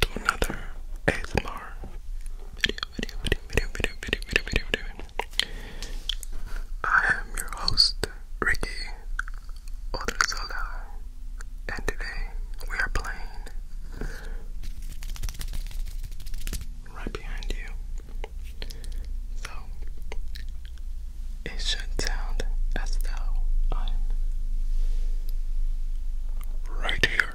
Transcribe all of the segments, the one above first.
to another ASMR video, video, video, video, video, video, video, video, video. I am your host, Ricky Odrizola, and today we are playing right behind you. So it should sound as though I'm right here.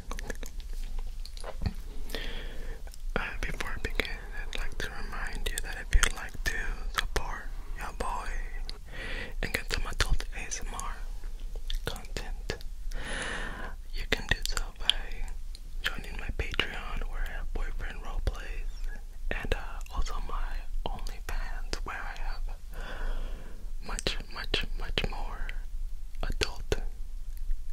tingle, uh, before I begin, I'd like to remind you that if you'd like to support your boy and get some adult ASMR content, you can do so by joining my Patreon where I have boyfriend roleplays and uh, also my OnlyFans where I have much much, much, more adult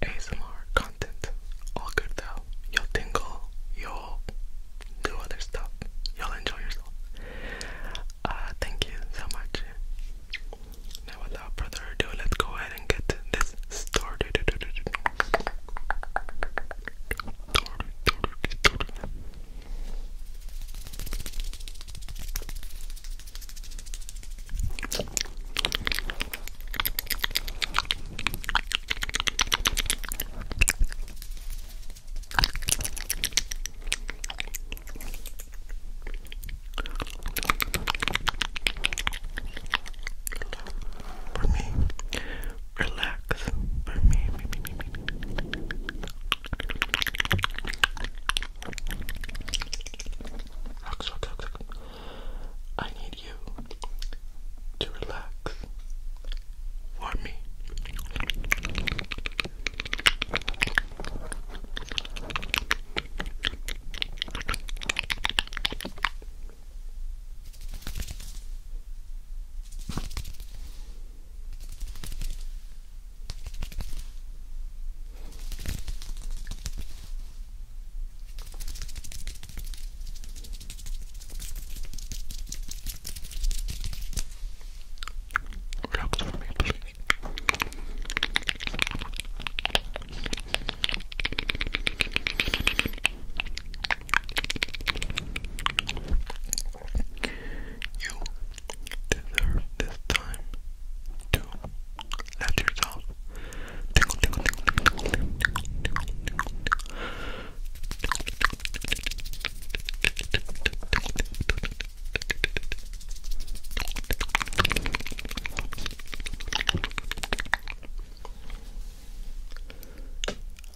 ASMR content. All good though. You'll tingle, you'll do other stuff, you'll enjoy yourself. Uh, thank you so much. Now, without further ado, let's go ahead and get this started. For me, relax. For me, me, me, me, me. me. I need you to relax for me. Helps for me to You deserve this time to let yourself tingle,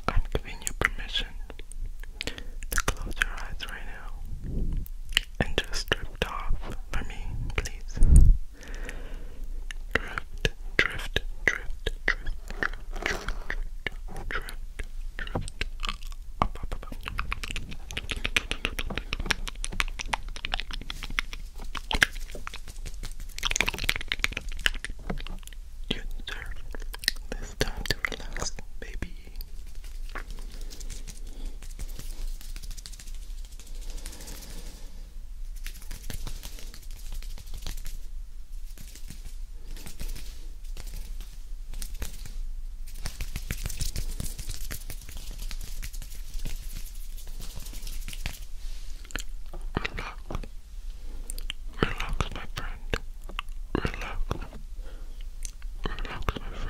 I'm giving you permission to close your eyes right now and just drift off for me, please. Drift, drift, drift, drift, drift, drift, drift, drift, You deserve this time to relax, baby. Relax, my friend. Relax. Relax, my friend.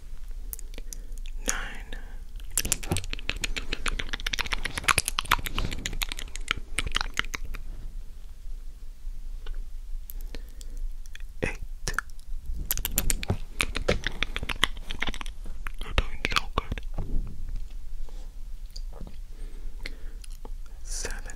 nine, eight. You're doing so good. Seven.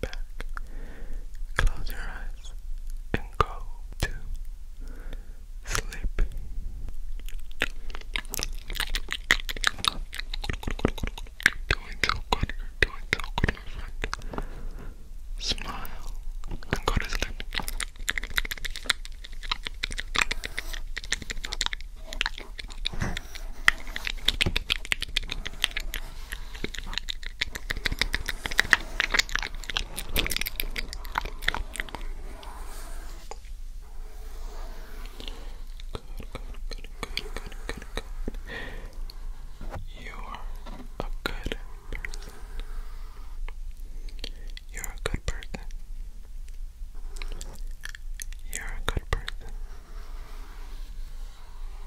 back, close your eyes, and go to sleep. Doing so good, doing so good, Smile and go to sleep good. You are a good person. You're a good person. You're a good person.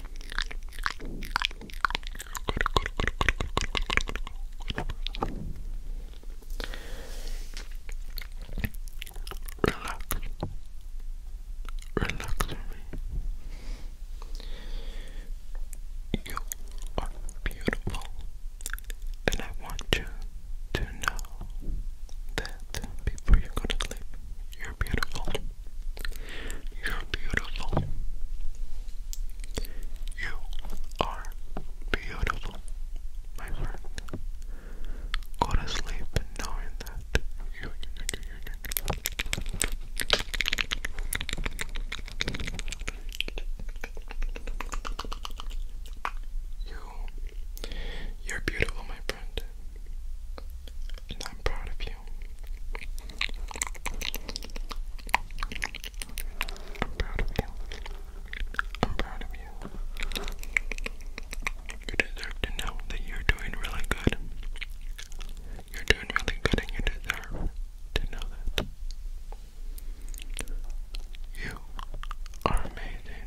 Relax. Relax me. You are beautiful. And I want you to know that before you go to sleep, you're beautiful. You're beautiful. You are beautiful, my friend. Go to sleep knowing that you, you, you, you, you. you you're beautiful, my friend. And I'm proud of you you. I'm proud of you. I'm proud of you. You deserve to know that you're doing really good. You're doing really good and you deserve to know that. You are amazing.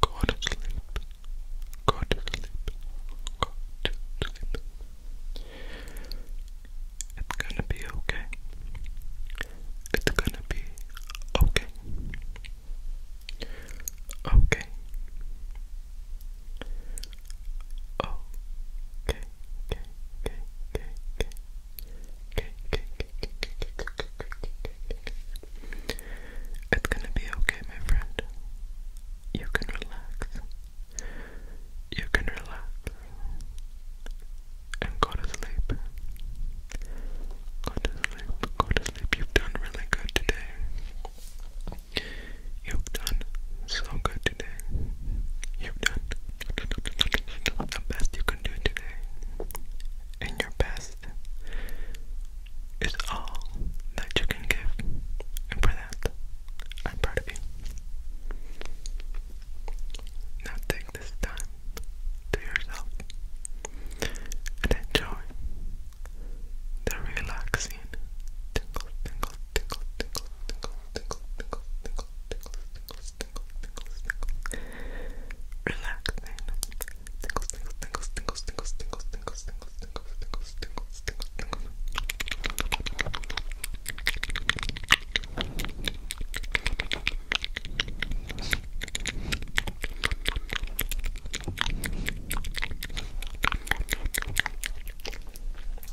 Go to sleep. Go to sleep. Go to sleep. It's gonna be okay. It's gonna be okay. Okay. Oh, okay, okay, okay, okay, okay, okay, okay, okay, okay, okay, okay, okay. It's gonna be okay, my friend. You can relax. You can relax and go to sleep. Go to sleep. Go to sleep. You've done really good today. You've done so good today. You've done the best you can do today. And your best is all that you can give. And for that, I'm proud of you. Now take this time to yourself and enjoy the relaxing tingles, tingles, tickle, tickle, tickle, tickle, tickle, tickle, tickle, tickle, tickle, tickle, relaxing. Tickle, tickle, tickle, tickle, tickle, tickle, tickle, tickle, tickle, tickle, tickle, tickle, tickle.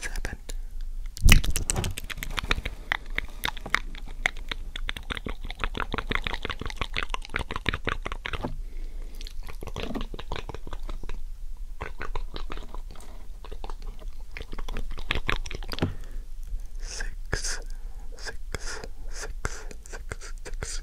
seven. Six, six, six, six, six,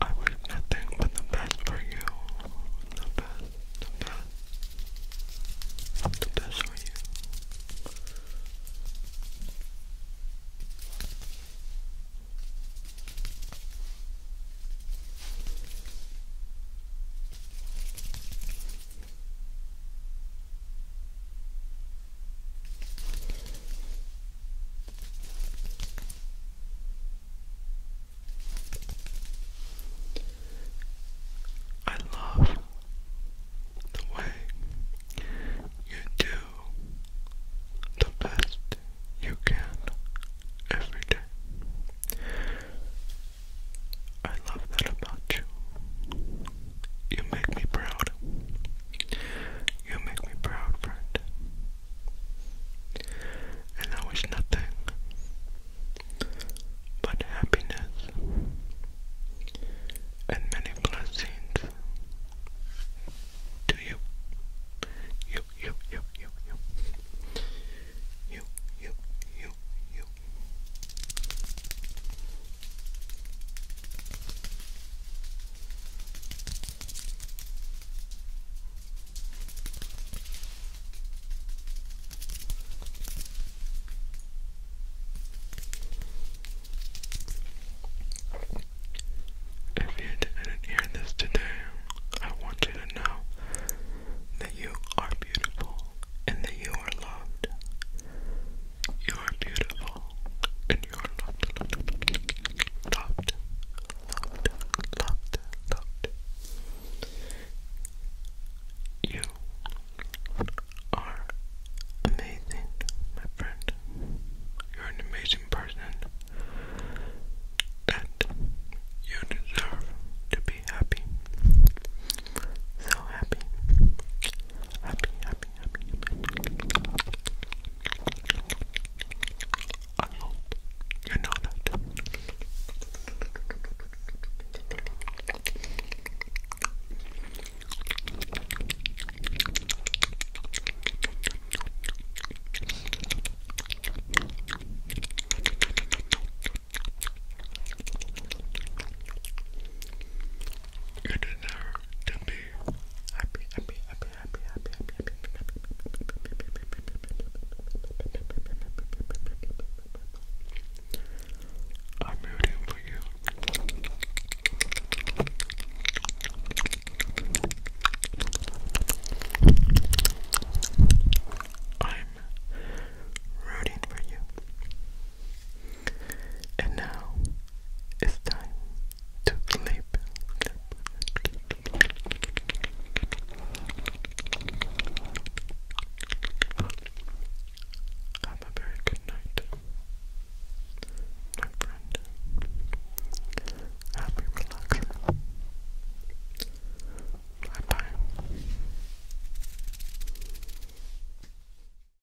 I wish nothing but the best for you. The best, the best, the best for you. I love the way you do the best you can every day. I love that about you. You make me proud. You make me proud, friend. And I wish nothing but happiness and many blessings to you. You, you, you, you, you. You, you, you, you. If you didn't hear this today, I want you to know that you are beautiful and that you are loved. You are beautiful and you are not loved, loved, loved, loved. You are amazing, my friend. You're an amazing person and you deserve to be happy. So happy happy, happy, happy, happy. I hope you're not. You deserve to be happy, happy, happy, happy, happy, happy, happy, happy, I'm rooting for you. I'm rooting for you. And now it's time to clip. Have a very good night, my friend. Happy relaxing. Bye